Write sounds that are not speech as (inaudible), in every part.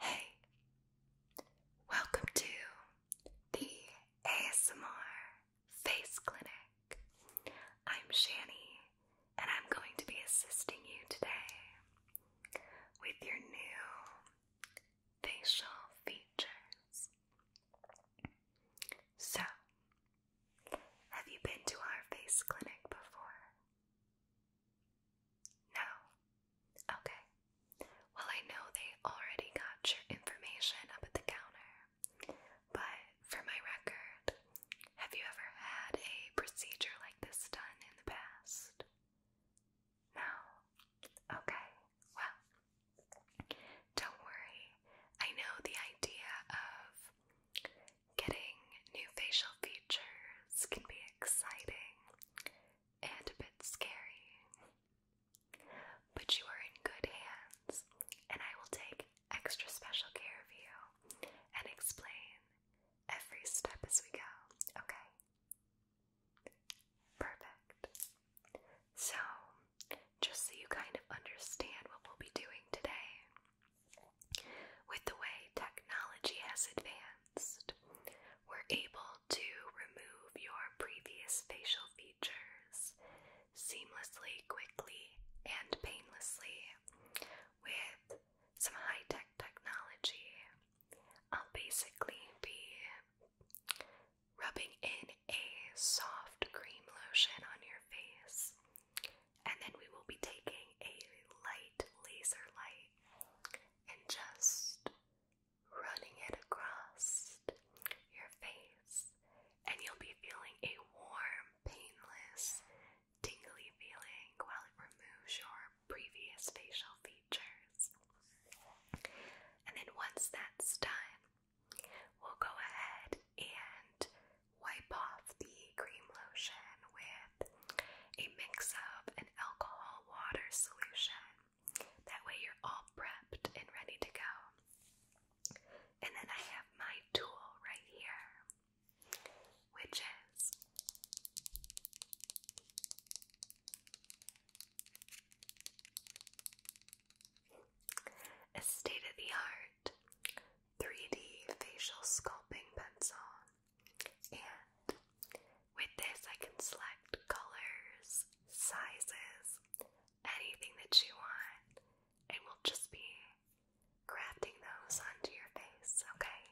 Hey, welcome to the ASMR Face Clinic. I'm Shani, and I'm going to be assisting you today with your new facial features. So, have you been to our face clinic before? No. Okay. Well, I know they already got your information up at the counter, but for my record, have you ever had a procedure like this done in the past? No. Okay. Well, don't worry. I know the idea of getting new facial features can be exciting and a bit scary. But you are in good hands, and I will take extra special care of you and explain every step as we go, okay? Perfect. So, just so you kind of understand what we'll be doing today, with the way technology has advanced, we're able to remove your previous facial features seamlessly, quickly, and painlessly with some high tech technology. I'll basically be rubbing in a soft cream lotion on your face, and then we will be taking a light laser light and just running it across your face, and you'll be feeling a warm, painless, tingly feeling while it removes your previous facial features. And then once that's done, we'll go ahead and wipe off the cream lotion with a mix of an alcohol water solution. That way, you're all prepped and ready to go. And then I have my tool right here, which is a state of the art 3D facial sculpting pencil. And with this, I can select colors, sizes, anything that you want, and we'll just be crafting those onto your face, okay?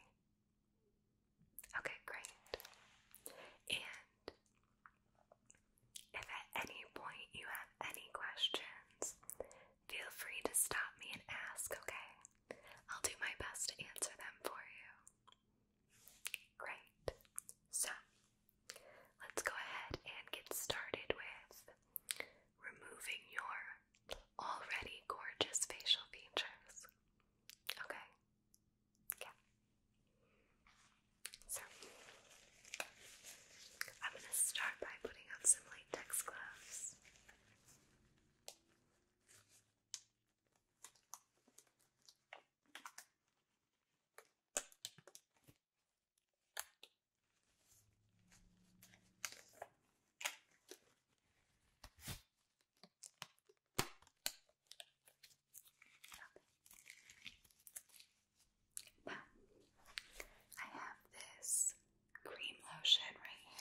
Okay, great. And if at any point you have any questions, feel free to stop me and ask, okay? I'll do my best to answer them for you. Great. So, let's go ahead and get started with removing your already gorgeous facial features. Okay? Yeah. So, I'm going to start by putting on some latex gloves. Now, I have this cream lotion right here.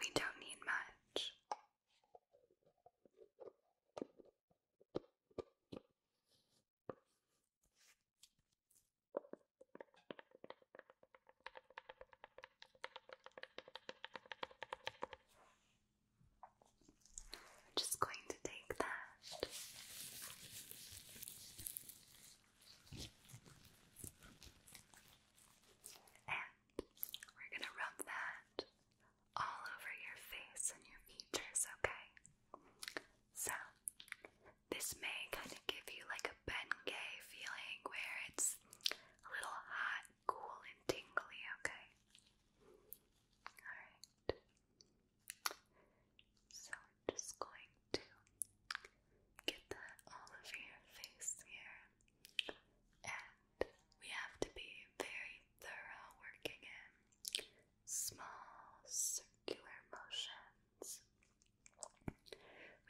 we don't need much. just going to take that and we're going to rub that all over your face and your features, okay? So, this may kind of give you like a Bengay feeling where it's a little hot, cool, and tingly, okay? Alright. So I'm just going to get that all over your face here. And we have to be very thorough working in small circular motions.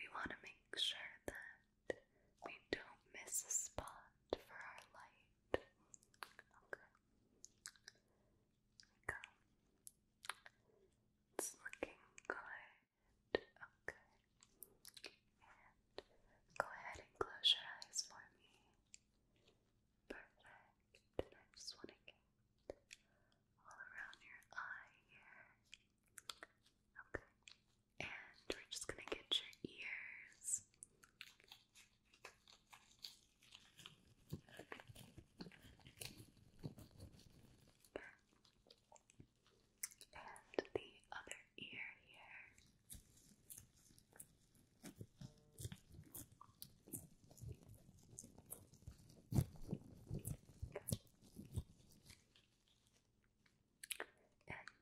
We want to make sure that we don't miss a spot for our light. Okay. we go. It's looking good. Okay. And go ahead and close your eyes for me. Perfect. And I just want to get all around your eye here. Okay. And we're just going to get your ears and the other ear here. And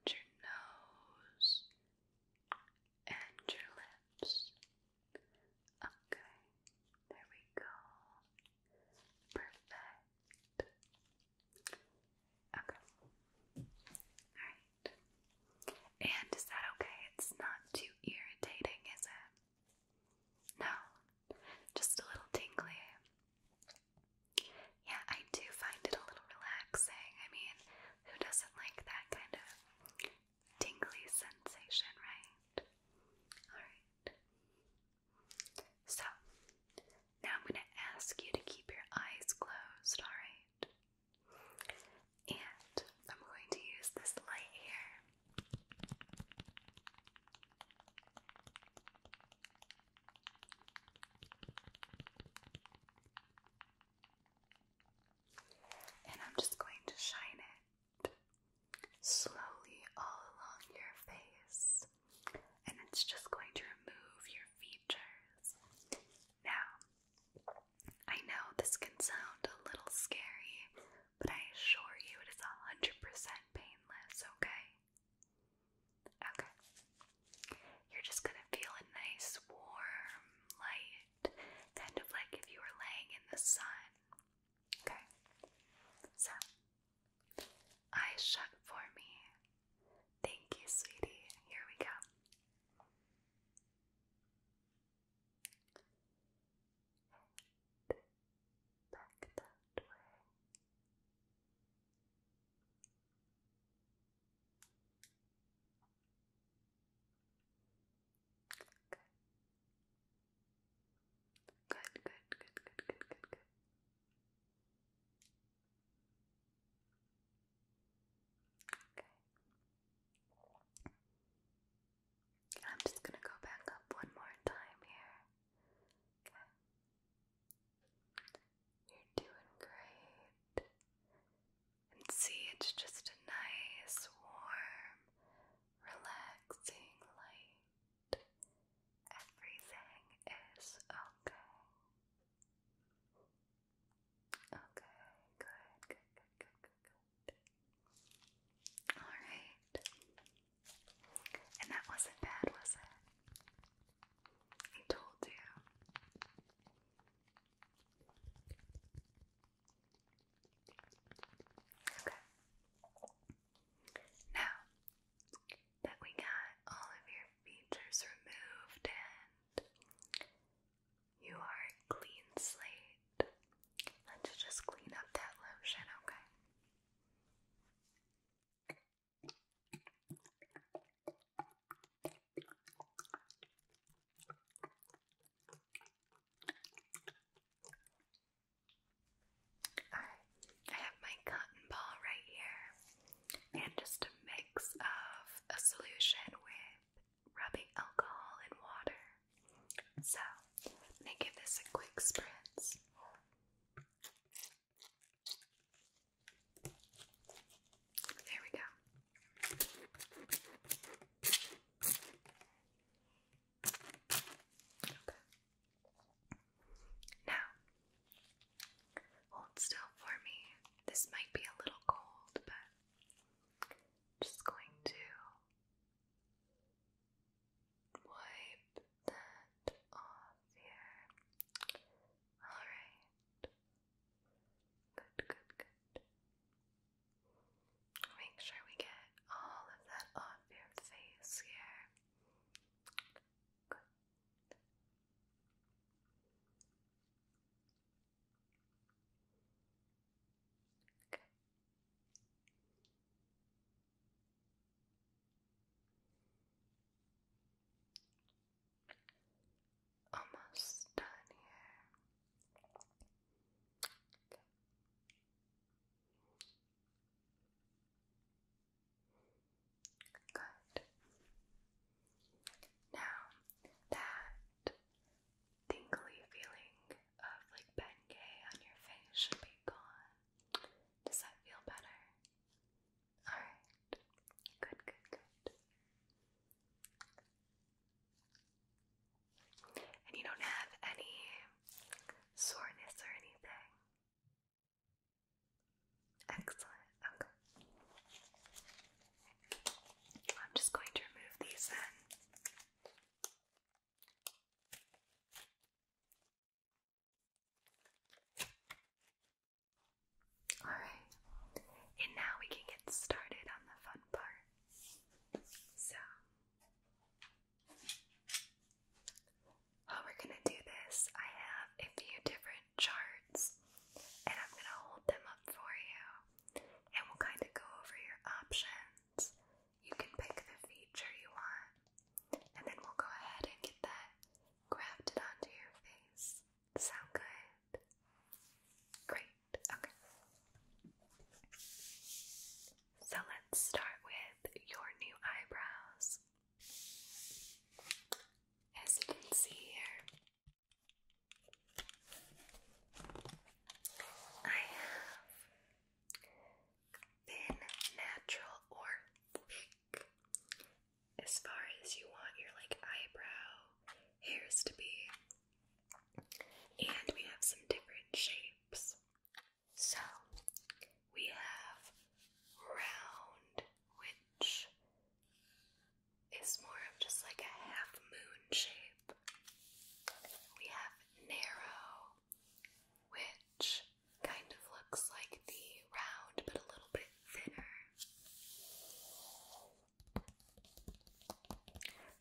your nose and your lips. Okay, there we go. Perfect. Okay. Alright. And is that okay? It's not too irritating, is it? No. Just a little tingly. Yeah, I do find it a little relaxing. I mean, who doesn't like that kind of tingly sensation, right? Alright. So, now I'm going to ask you to keep your eyes closed, alright? And I'm going to use this light here. And I'm just going to shine it slowly all along your face, and it's just going to remove your features. Now, I know this can sound a little scary, but I assure you it is 100% painless, okay? Okay. You're just gonna feel a nice, warm light, kind of like if you were laying in the sun. Okay? So, Eyes shut for me. Thank you, sweetie. Here we go. back that way. Good, good, good, good, good, good, good. Okay. I'm just gonna go back up one more time here. You're doing great. And see, it's just a nice, warm, relaxing light. Everything is okay. Okay, good, good, good, good, good, Alright. And that wasn't bad, was it? I told you. Okay. Now, that we got all of your features removed and you are a clean slate. Let's just clean up that lotion, okay? I have my cotton ball right here, and just a mix of a solution with rubbing alcohol and water. So, I'm gonna give this a quick spritz. There we go. Now, hold still for me. This might be a little cold, but just going to wipe that off here. Alright. Good, good, good. Make sure we get all of that off your face here. Good. Okay. Almost done here. Good. Now that tingly feeling of like Bengay on your face should be gone. Does that feel better? Alright. Good, good, good. And you don't have any soreness or anything. Excellent, okay. I'm just going to remove these then. Alright, and now we can get started on the fun part. So, how we're going to do this, I have a few different charts and I'm going to hold them up for you and we'll kind of go over your options. You can pick the feature you want and then we'll go ahead and get that grafted onto your face. Sound good? Great. Okay. So let's start with your new eyebrows. As you can see here, I have thin, natural, or as far as you want your like eyebrow hairs to be. And we have some different shapes. So we have round, which is more of just like a half moon shape. We have narrow, which kind of looks like the round but a little bit thinner.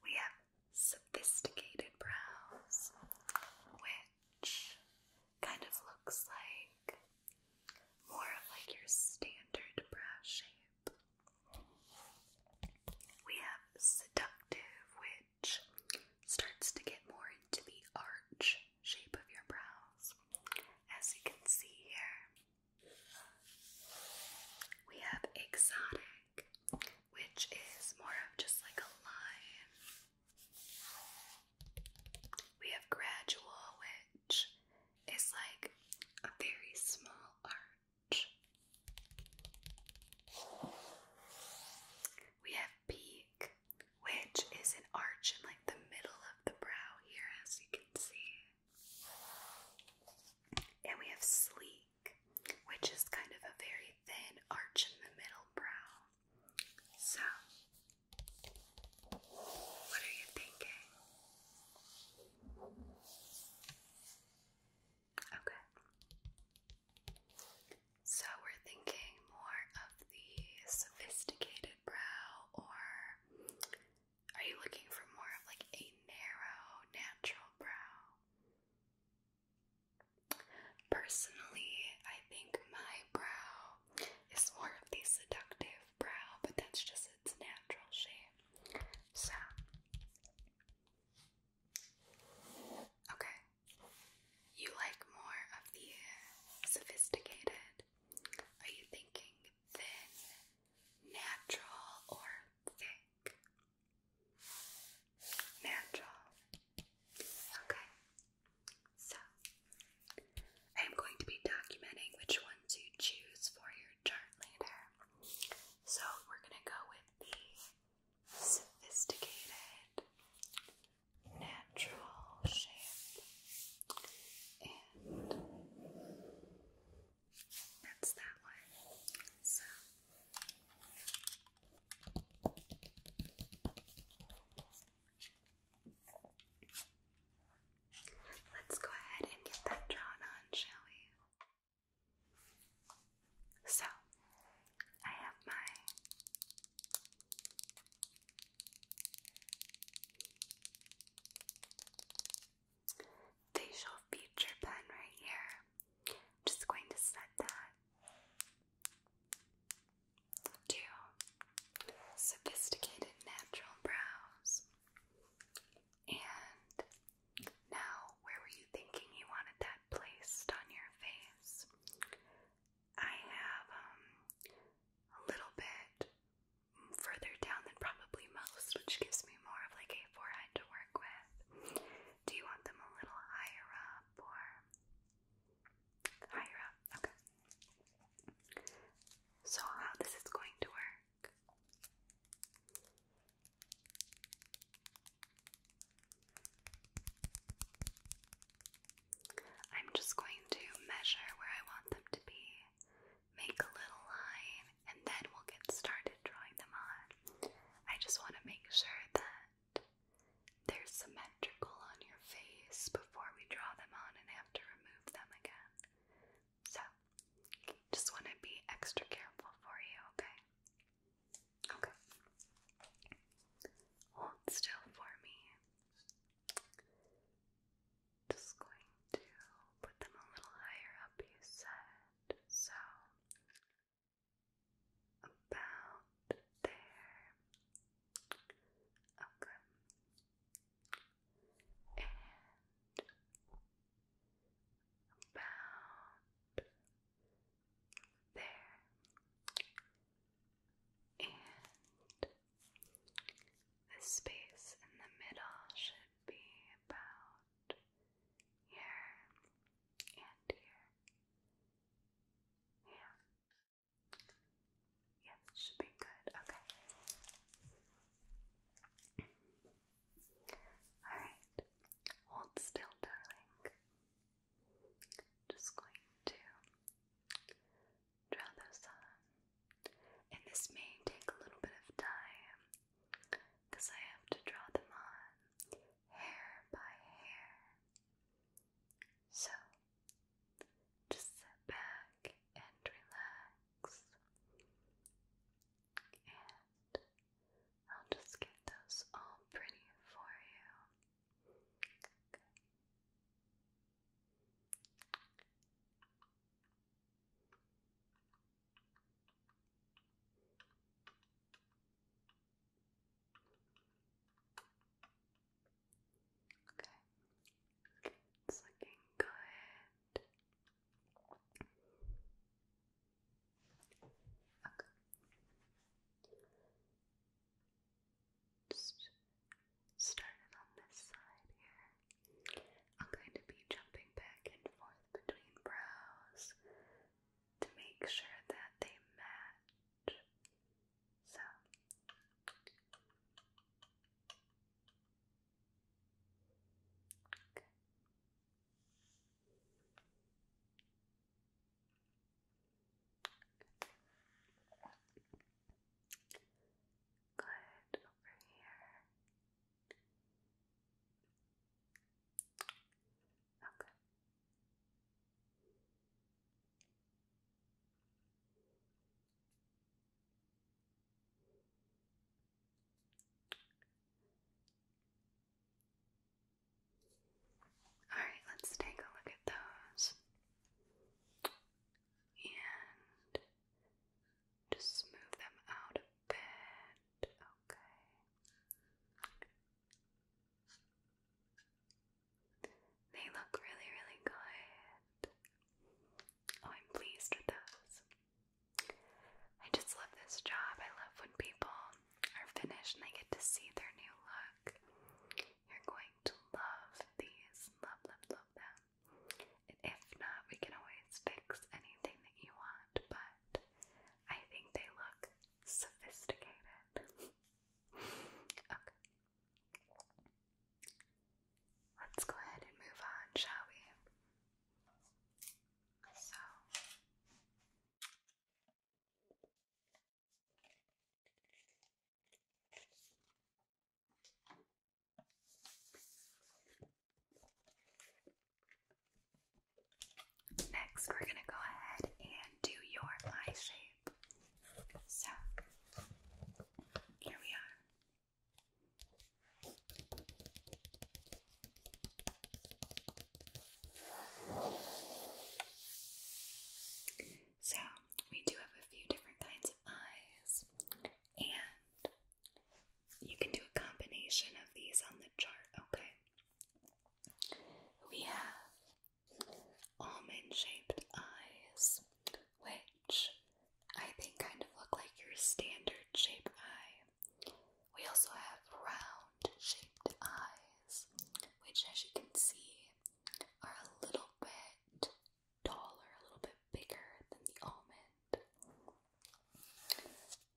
We have sophisticated brows, which kind of looks like more of like your standard brow shape. We have seductive, which starts to get more into the arch shape of your brows, as you can see here. We have exotic, which is more of just like a line we have gradual, which is like a very small arch. We have peak, which is an arch in like the middle of the brow here, as you can see. And we have sleek, which is kind of a very thin arch in the middle brow. So, what are you thinking? Okay. So we're thinking more of the sophisticated brow, or are you looking for more of like a narrow, natural brow? Personally, I think my brow it's more of the seductive brow, but that's just its natural shape. So, okay, you like more of the sophisticated. Are you thinking thin, natural, or thick? Natural. Okay. So, I am going to be documenting which ones you choose for your chart later. So, we're going to go with the sophisticated, natural shape, and that's that one. So, Let's go ahead and get that drawn on, shall we? So, I have my facial feature pen right here. just going to set that 2. Sophisticated natural brows. And now, where were you thinking you wanted that placed on your face? I have um, a little bit further down than probably most, which gives me more of like a forehead to work with. Do you want them a little higher up or Higher up, okay. So, how this is going to work. I'm just going to measure where I want them to be, make a little line, and then we'll get started drawing them on. I just want to make sure that there's some spectacle on your face before we draw them on and have to remove them again. So, just want to be extra careful for you, okay? Okay. Hold still for me. Just going to put them a little higher up, you said. So, about there. Okay. And about there. And the space in the middle should be about here and here. Yeah. Yeah, should be good. Okay. Alright. Hold still, darling. Just going to draw those on. And this may take a little bit of time because I have to draw them on hair by hair. So, just sit back and relax, and I'll just get those all pretty for you. Okay. It's looking good. Okay. Just started on this side here. I'm going to be jumping back and forth between brows to make sure that they match. So okay. Good over here. Okay. All right, let's take a look at those and just smooth them out a bit. Okay. They look really, really good. Oh, I'm pleased with those. I just love this job. I love when people are finished and they get to see their new look. You're going to love these. Love, love, love them. if not, we can always fix anything that you want, but I think they look sophisticated. (laughs) okay. Let's go ahead and move on, shall we? So, next, we're going to go ahead and do your eye shape. So here we are. So, we do have a few different kinds of eyes, and you can do a combination of these on the chart, okay? We have almond shaped eyes, which I think kind of look like your standard shape eye. We also have round shaped eyes, which as you can see are a little bit taller, a little bit bigger than the almond.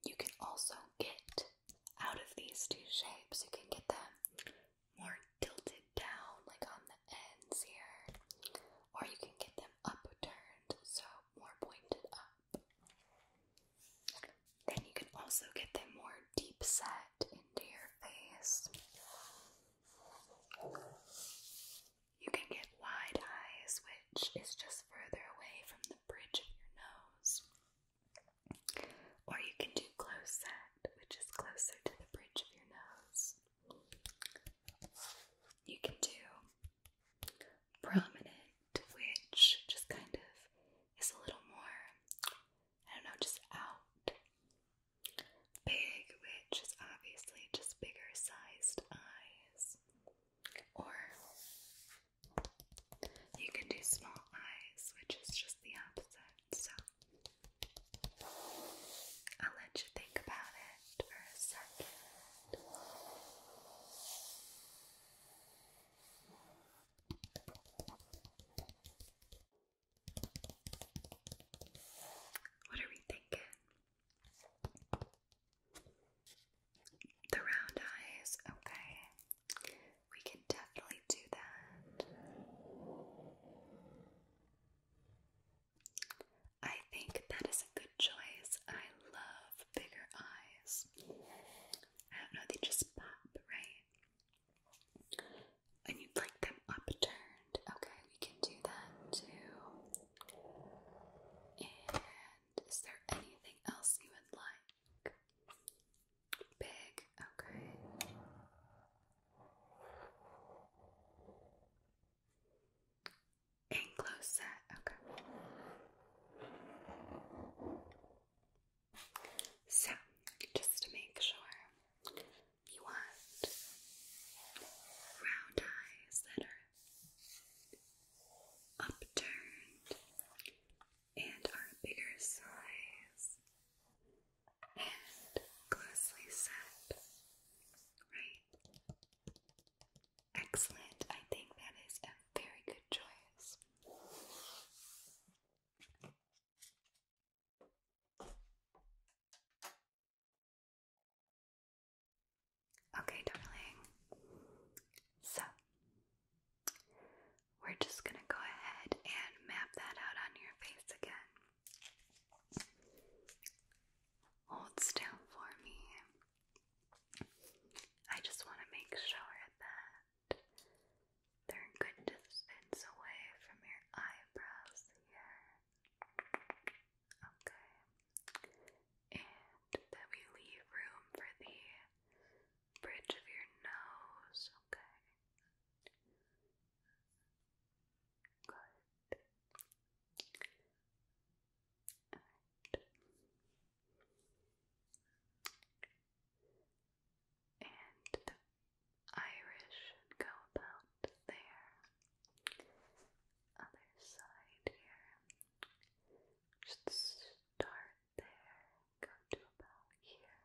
You can also get out of these two shapes, you can get them more tilted down like on the ends here or you can get them upturned so more pointed up. Then you can also get them more deep set into your face. You can get wide eyes, which is just further away from the bridge of your nose. Or you can do close set, which is closer to the bridge of your nose. You can do prominent, which just kind of is a little more, I don't know, just out. Big, which is obviously just bigger sized eyes. Or you can do small eyes, which is just the opposite. So I'll let you think about it for a second. What are we thinking? The round eyes, okay. We can definitely do that. I think that is a good choice. I love bigger eyes. I don't know, they just pop, right? And you'd like them upturned. Okay, we can do that too. And is there anything else you would like? Big, okay. Anglo set, okay. So, just to make sure, you want round eyes that are upturned and are a bigger size and closely set, right? Excellent. I think that is a very good choice. Okay, darling. So, we're just going to go ahead and map that out on your face again. Hold still for me. I just want to make sure that they're a good distance away from your eyebrows here. Okay. And that we leave room for the bridge of your nose. Okay. Good. All right. And the go about there. Other side here. Just start there, go to about here,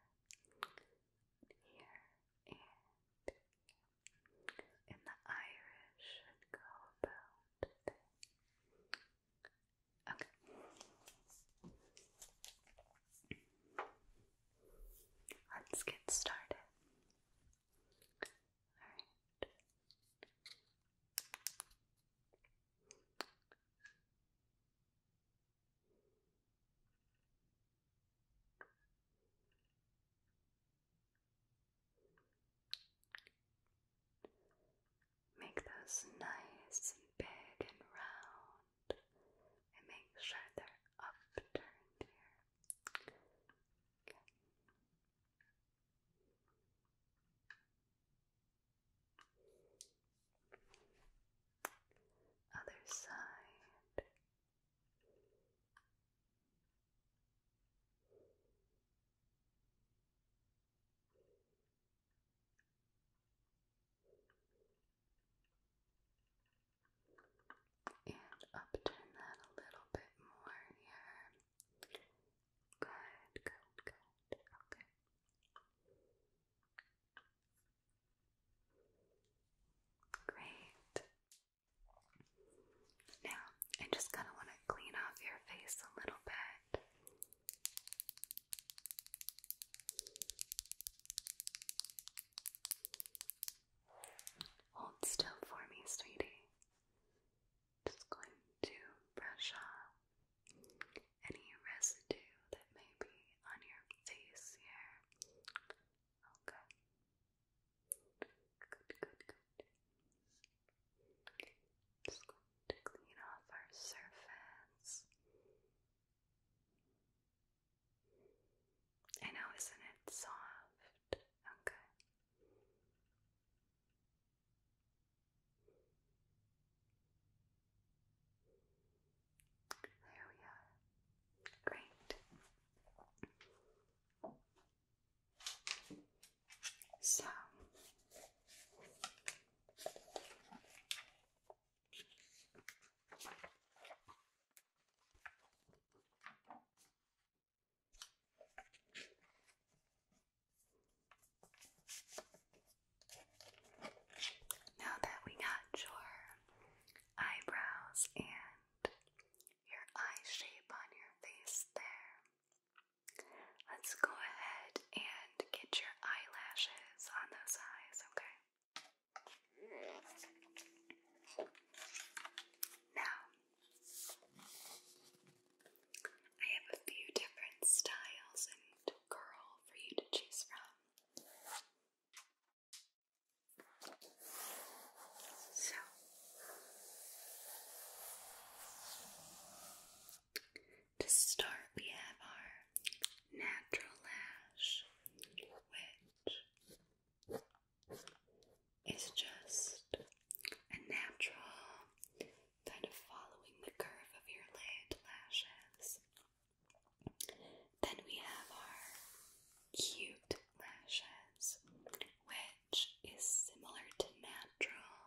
here, and in the Irish should go about Okay. Let's get started. Alright. Make those nice and big and round, and make sure they're upturned here. Other side. And upturn that a little bit more here. Good, good, good. Okay. Great. Now, I just kind of want to clean off your face a little bit. Hold still for me, sweetie. Just going to brush off any residue that may be on your face here. Okay. Good, good, to clean off our surface. I know, isn't it soft? Okay. There we are. Great. So now that we got your eyebrows and your eye shape on your face there. Let's go ahead and get your eyelashes on those eyes, okay? Now, I have a few different styles and curl for you to choose from. So, to start, we have our natural lash, which is just a natural kind of following the curve of your lid lashes. Then we have our cute lashes, which is similar to natural,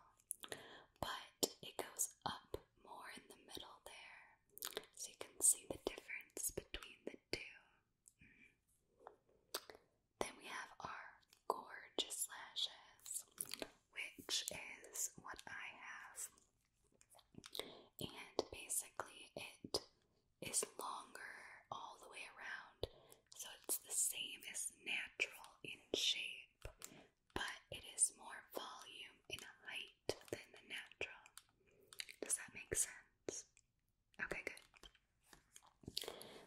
but it goes up more in the middle there. So you can see the difference between the two. Mm-hmm. Then we have our gorgeous lashes, which is what I have. And basically, it is longer all the way around so it's the same as natural in shape, but it is more volume in height than the natural. Does that make sense? Okay, good.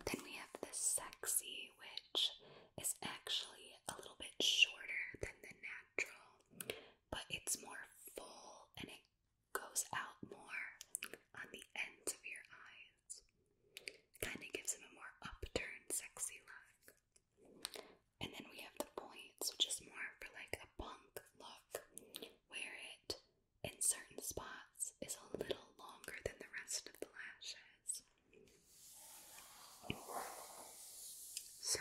Then we have the sexy, which is actually a little bit shorter than the natural, but it's more full and it goes out more on the ends of your eyes. Kind of gives him a more upturned, sexy look. And then we have the points, which is more for like a punk look, where it, in certain spots, is a little longer than the rest of the lashes. So,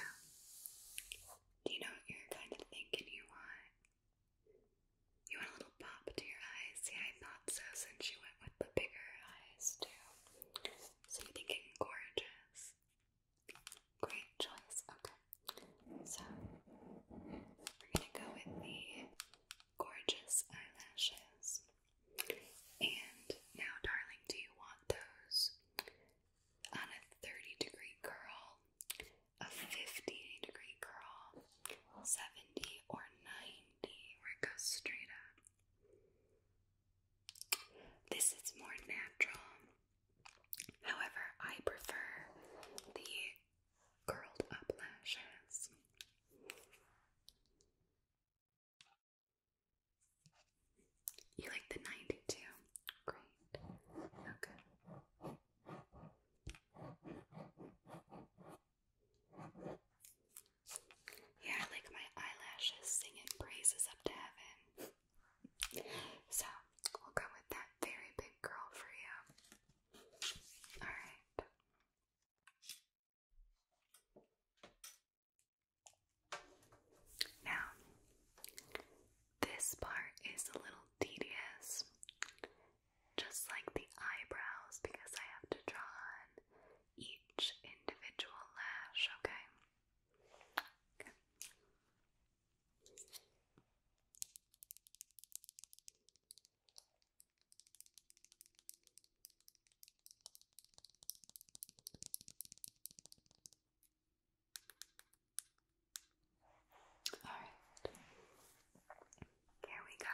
do you know what kind of thinking you want? You want a little pop to your eyes? Yeah, I thought so since you went with the bigger eyes too. So you're thinking gorgeous. Great choice. Okay. So we're gonna go with the gorgeous eyelashes. And now, darling, do you want those on a 30 degree curl, a 50 degree curl, 70 or 90? indie where This is more natural. However, I prefer the curled up lashes. You like the 92? Great. Okay. Here I my eyelashes, singing praises up to heaven. So, we'll go with that very big girl for you. Alright. Now, this part is a little tedious just like the eyebrows, because I have to draw on each individual lash, okay? okay. All right, here we go.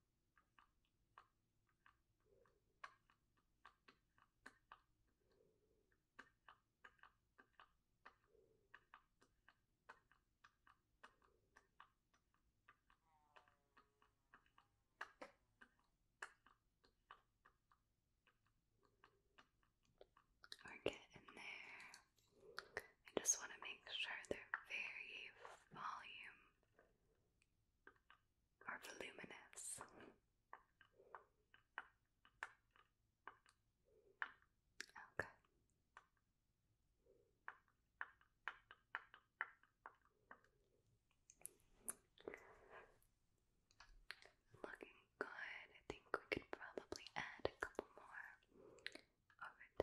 We're getting there. I just want to make sure they're very volume are voluminous. Okay. Looking good. I think we could probably add a couple more over to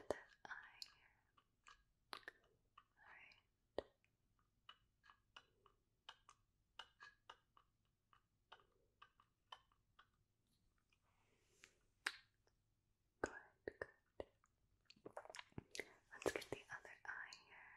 this eye here. Alright. Good, good. Let's get the other eye here.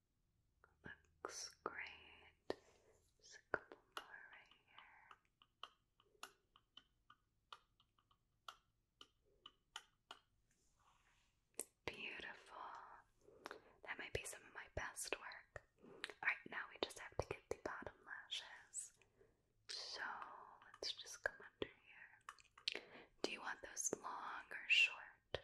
Looks great. Just a couple more right here. Beautiful. That might be some of my best work. Alright, now we just have to get the bottom lashes. So let's just come under here. Do you want those long or short?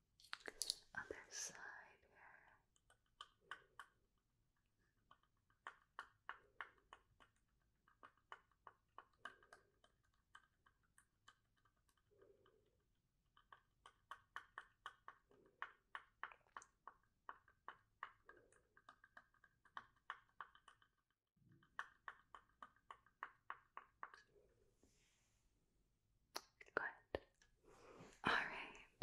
Other side here. Okay. Good. Alright.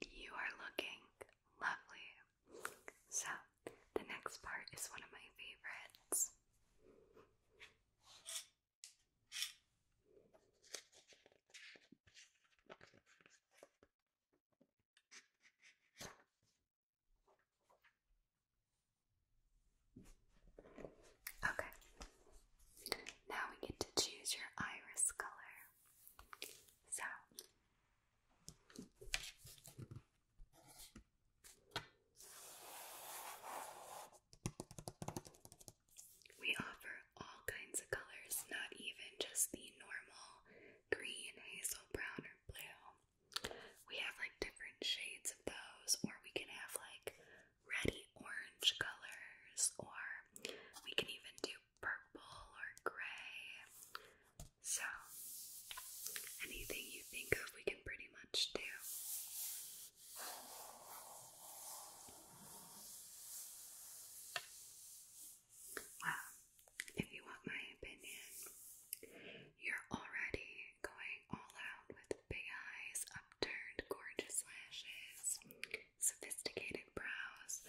You are looking lovely. So, the next part is one of my favorites. Okay. Now we get to choose your iris color. So we offer all kinds of colors, not even just the normal green, hazel, brown, or blue. We have like different shades of those, or we can have like reddy orange colors, or we can even do purple or gray. So, anything you think of, we can pretty much do. Well, if you want my opinion, you're already going all out with big eyes, up upturned, gorgeous lashes, sophisticated brows.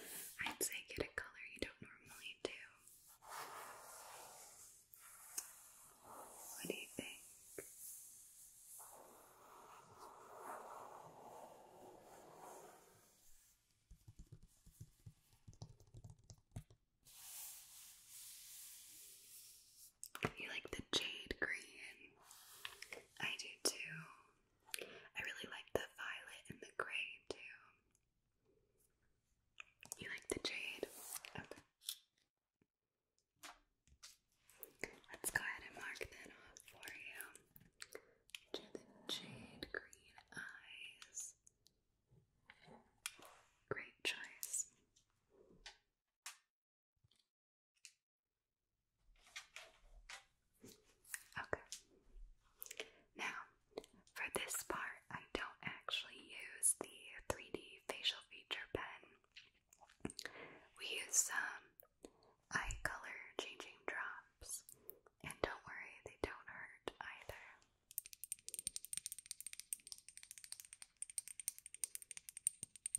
I'd say get a color you don't normally do. What do you think? You like the jade green? I do too. I really like the violet and the gray too. You like the jade? Okay. Let's go ahead and mark that off for you. To the jade green eyes. Great choice. Okay. Now, for this part, I don't actually use the 3D facial feature pen. We use some eye color changing drops, and don't worry, they don't hurt either.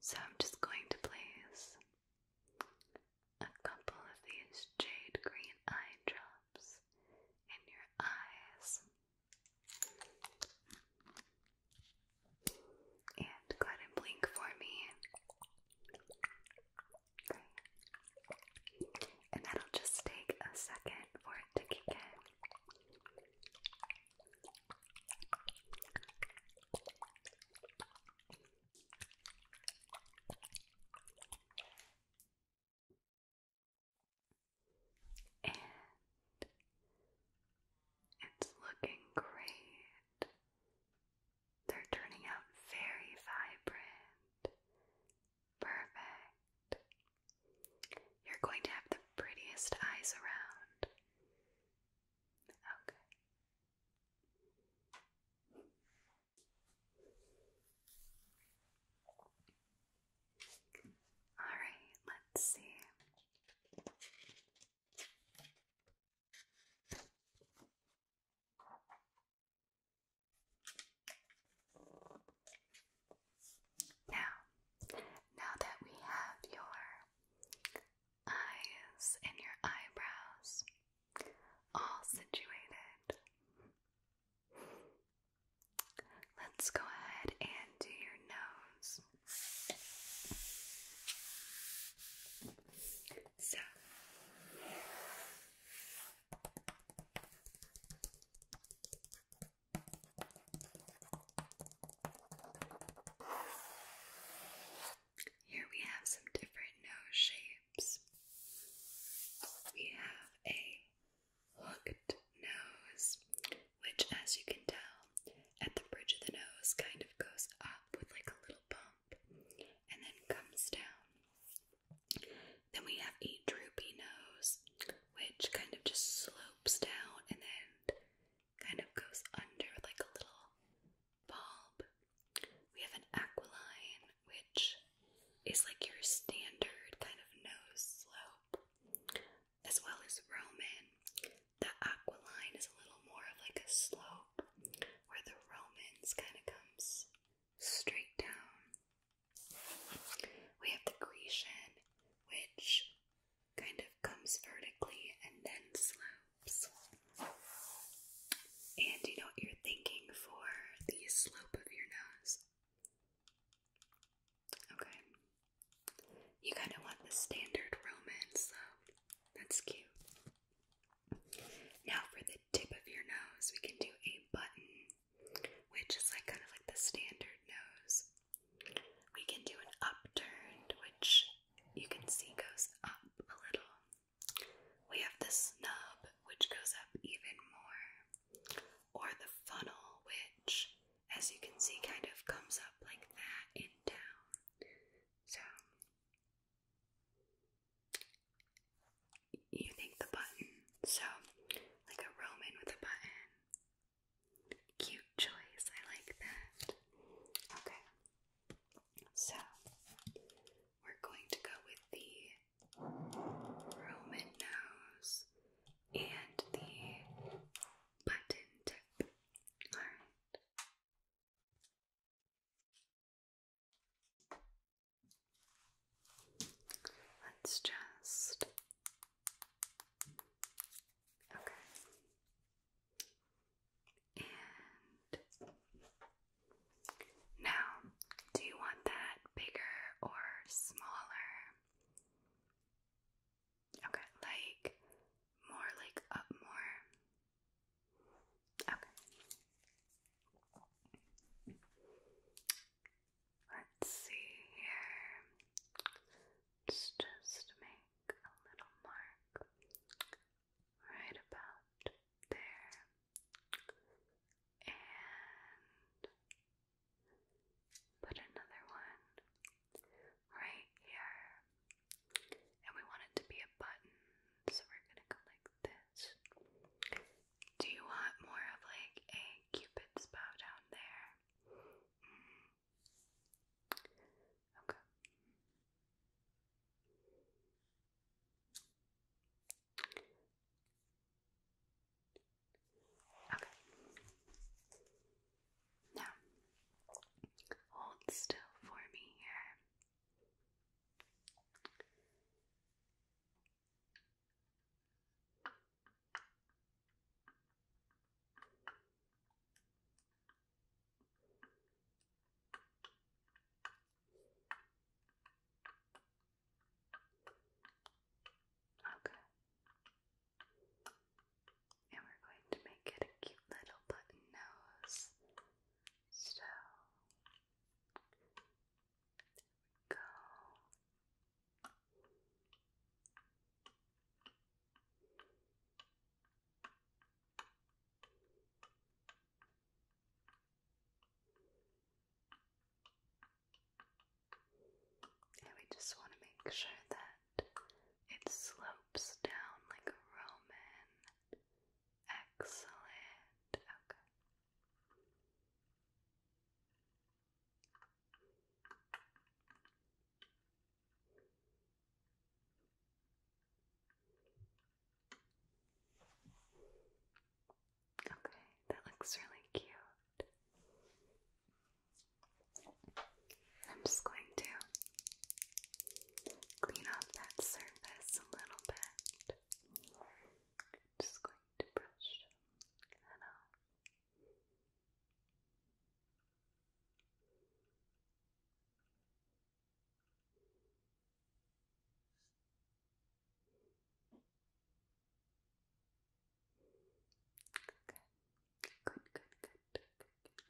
So I'm just going to place a couple of these jade green eye drops in your eyes. And go ahead and blink for me and that'll just take a second for it to kick in. And it's looking great. They're turning out very vibrant Perfect. You're going to have the prettiest eyes around. Okay. All right, let's see. Now, now that we have your eyes and your eyebrows all situated, let's go ahead and do your nose. So, here we have some different nose shapes. We have a hooked nose, which, as you can tell, at the bridge of the nose kind of goes up with like a little bump and then comes down. Then we have a droopy nose, which kind of just slopes down and then kind of goes under like a little bulb. We have an aquiline, which is like your standard kind of nose slope, as well as Roman. The aquiline is a little more of like a slope, where the Romans kind of comes straight down. We have the Grecian, which kind of comes vertically and then slopes. And you know what you're thinking for the slope of your nose? Okay. You kind of want the standard Roman slope. That's cute. Now, for the tip of your nose, we can do a button which is like kind of like the standard nose. We can do an upturned, which you can see goes up a little. We have the snub, which goes up even more, or the funnel, which, as you can see, kind of comes up like that and down. So, you think the button, so like a Roman with a button, Cute choice, I like that. Okay, so we're going to go with the Roman nose and the button tip. Alright. Let's just. Okay. And now, do you want that bigger or smaller? Okay, like more like up more. Okay. Let's see here. Let's just make a little mark right about there. And put another one right here. And we want it to be a button, so we're gonna go like this. Do you want more of like a cupid's bow down there? Okay. Okay. Now, hold still for me here. Okay. And we're going to make it a cute little button nose. So, go. And we just want to make sure that it slopes down like a Roman. Excellent. Okay. Okay, that looks really cute. I'm just going to clean off that surface a little bit. just going to brush that off. Good, good, good, good,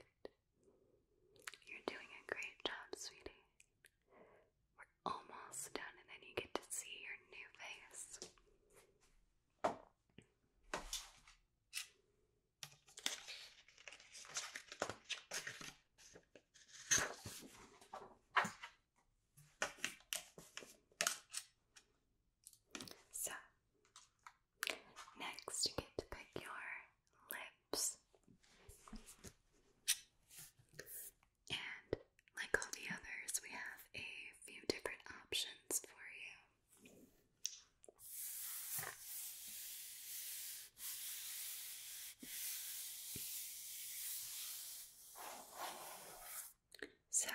good, good. You're doing a great job, sweetie. We're almost done, and then you get to see your new face. So, next you get to pick your lips. And like all the others, we have a few different options for you. So,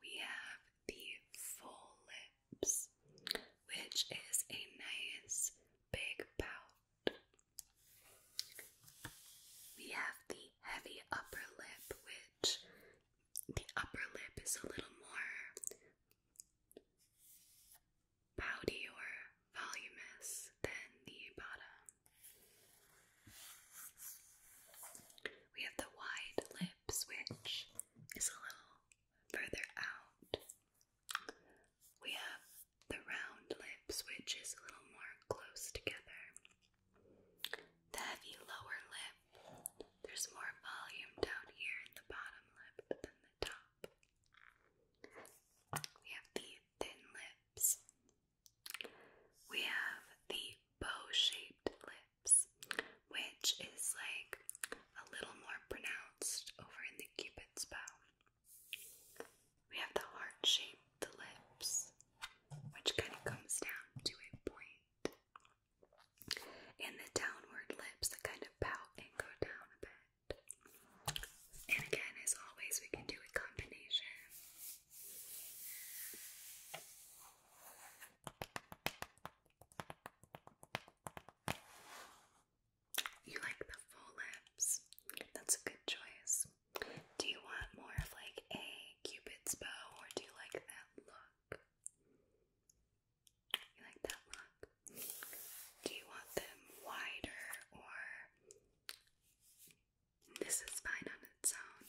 we have the full lips, which is a nice big pout. We have the heavy upper lip, which the upper lip is a little more pouty or voluminous than the bottom. We have the wide lips, which is a little further out. We have the round lips, which is a little more close together. The heavy lower lip. There's more volume down here in the bottom lip than the top. We have the thin lips. We have the bow-shaped lips, which is like a little more pronounced over in the cupid's bow. We have the heart-shaped lips, which kind of comes down to a point. And the downward lips that kind of pout and go down a bit. And again, as always, we can do a combination. You like the full lips? That's a good choice. Do you want more of like a cupid's bow or do you like that look? You like that look? Do you want them wider or this is fine on its own?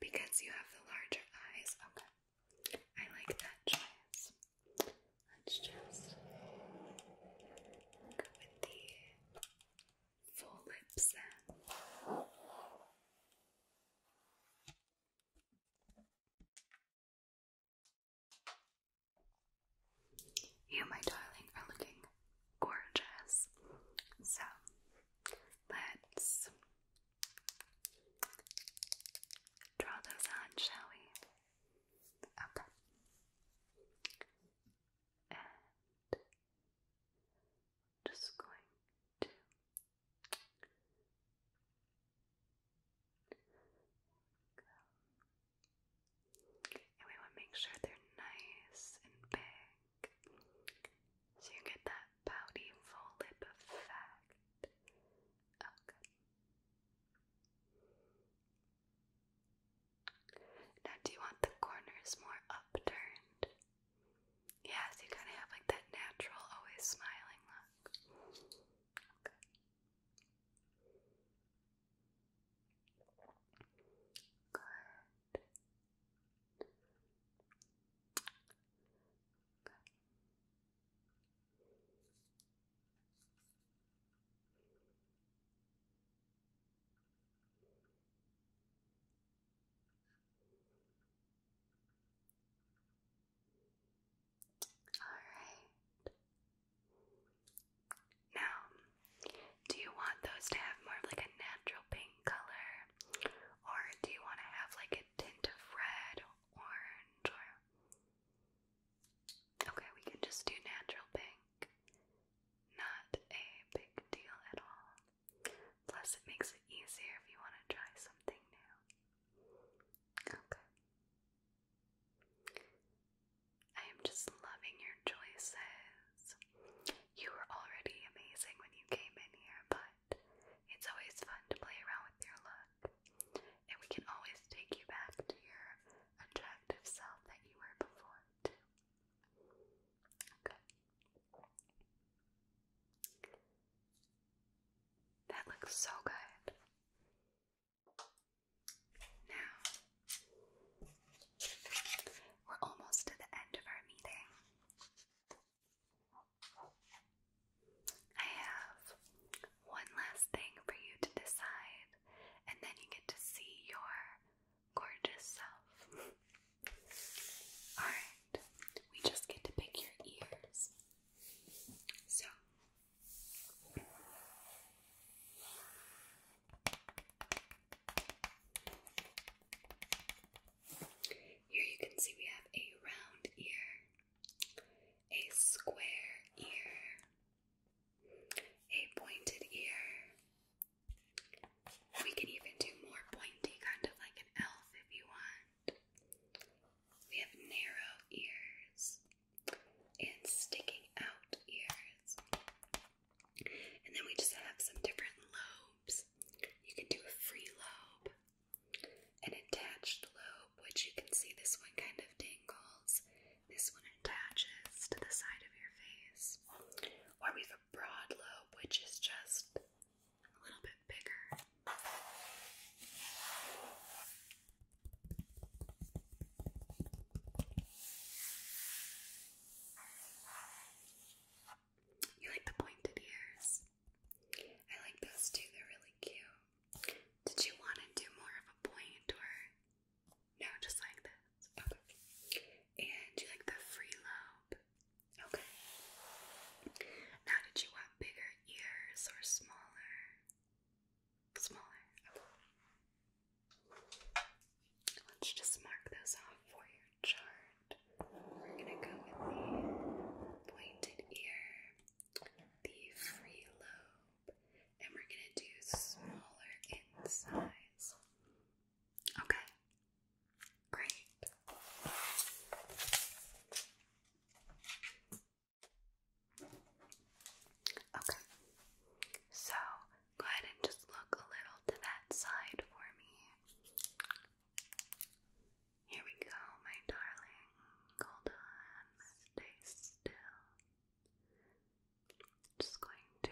Because you have the larger eyes. Okay. I like that choice. Let's just go with the full lips You, my darling, are looking gorgeous. So let's draw those on, shall we? Okay. And just going to and we want to make sure they're nice and big so you get that pouty full lip effect. Okay. Now, do you want the corners more upturned yeah, so you kind of have like that natural, always smiling look. Good. Alright. Now, do you want those to have more of like a natural pink color? Or do you want to have like a tint of red or orange or Okay, we can just do natural pink. Not a big deal at all. Plus, it makes it easier if you want to try something new. Okay. I am just loving your choices. You were already amazing when you came in here, but it's always fun to play around with your look. And we can always take you back to your attractive self that you were before, Okay. That looks so good. Now, we're almost to the end of our meeting. I have one last thing for you to decide, and then you get to see your gorgeous self. (laughs) Alright, we just get to pick your ears. So. Here you can see we have a round ear, a square ear, a pointed ear. We can even do more pointy, kind of like an elf if you want. We have narrow ears and sticking out ears. And then we just have some different lobes. You can do a free lobe, an attached lobe, which you can see this one kind of dangles. This one attaches to the side of your face. Or we have a broad lobe, which is just a little bit bigger. You like the pointed ears? I like those too, they're really cute. Did you want to do more of a point or no, just like this? And you like the free lobe? Okay. Now, did you want bigger ears or smaller? Smaller. Let's just mark those off for your chart. We're gonna go with the pointed ear, the free lobe, and we're gonna do smaller in size. Okay, Great. Okay. So go ahead and just look a little to that side for me. Here we go, my darling. Hold on. Stay still. Just going to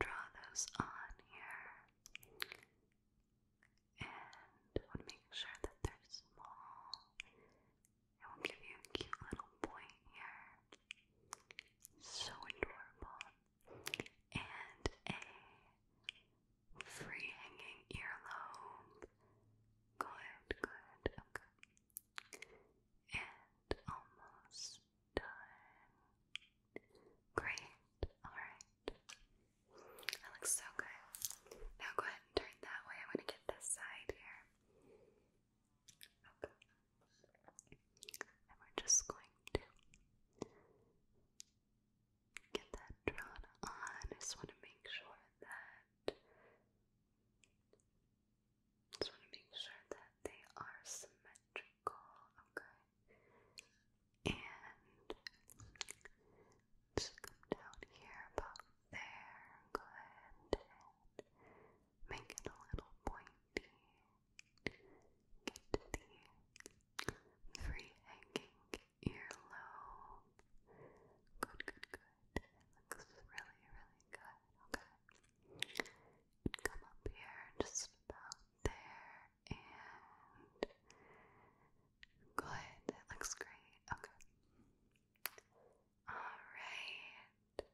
draw those on here and I want to make sure that they're small. I will give you a cute little point here. So adorable. And a free hanging earlobe. Good, good, okay. And almost done. Great, alright. That looks so good. Now go ahead and turn that way. I'm to get this side here. Okay. And we're just going to get that drawn on. just want to make sure that just want to make sure that they are symmetrical. Okay. And come down here about there. Go ahead and make it a little pointy. Get the free hanging earlobe. Good, good, good. looks really, really good. Okay. come up here just about there and good. That looks great. Okay. Alright.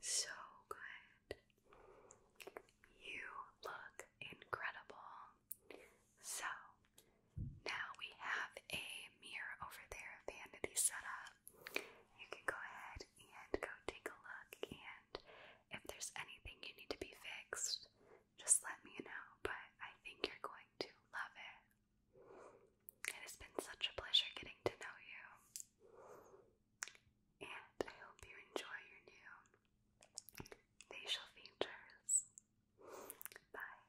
So good. You look incredible. So now we have a mirror over there, vanity set You can go ahead and go take a look and if there's anything you need to be fixed, just let me know, but I think you're going to love it. It has been such a pleasure getting to know you, and I hope you enjoy your new facial features. Bye.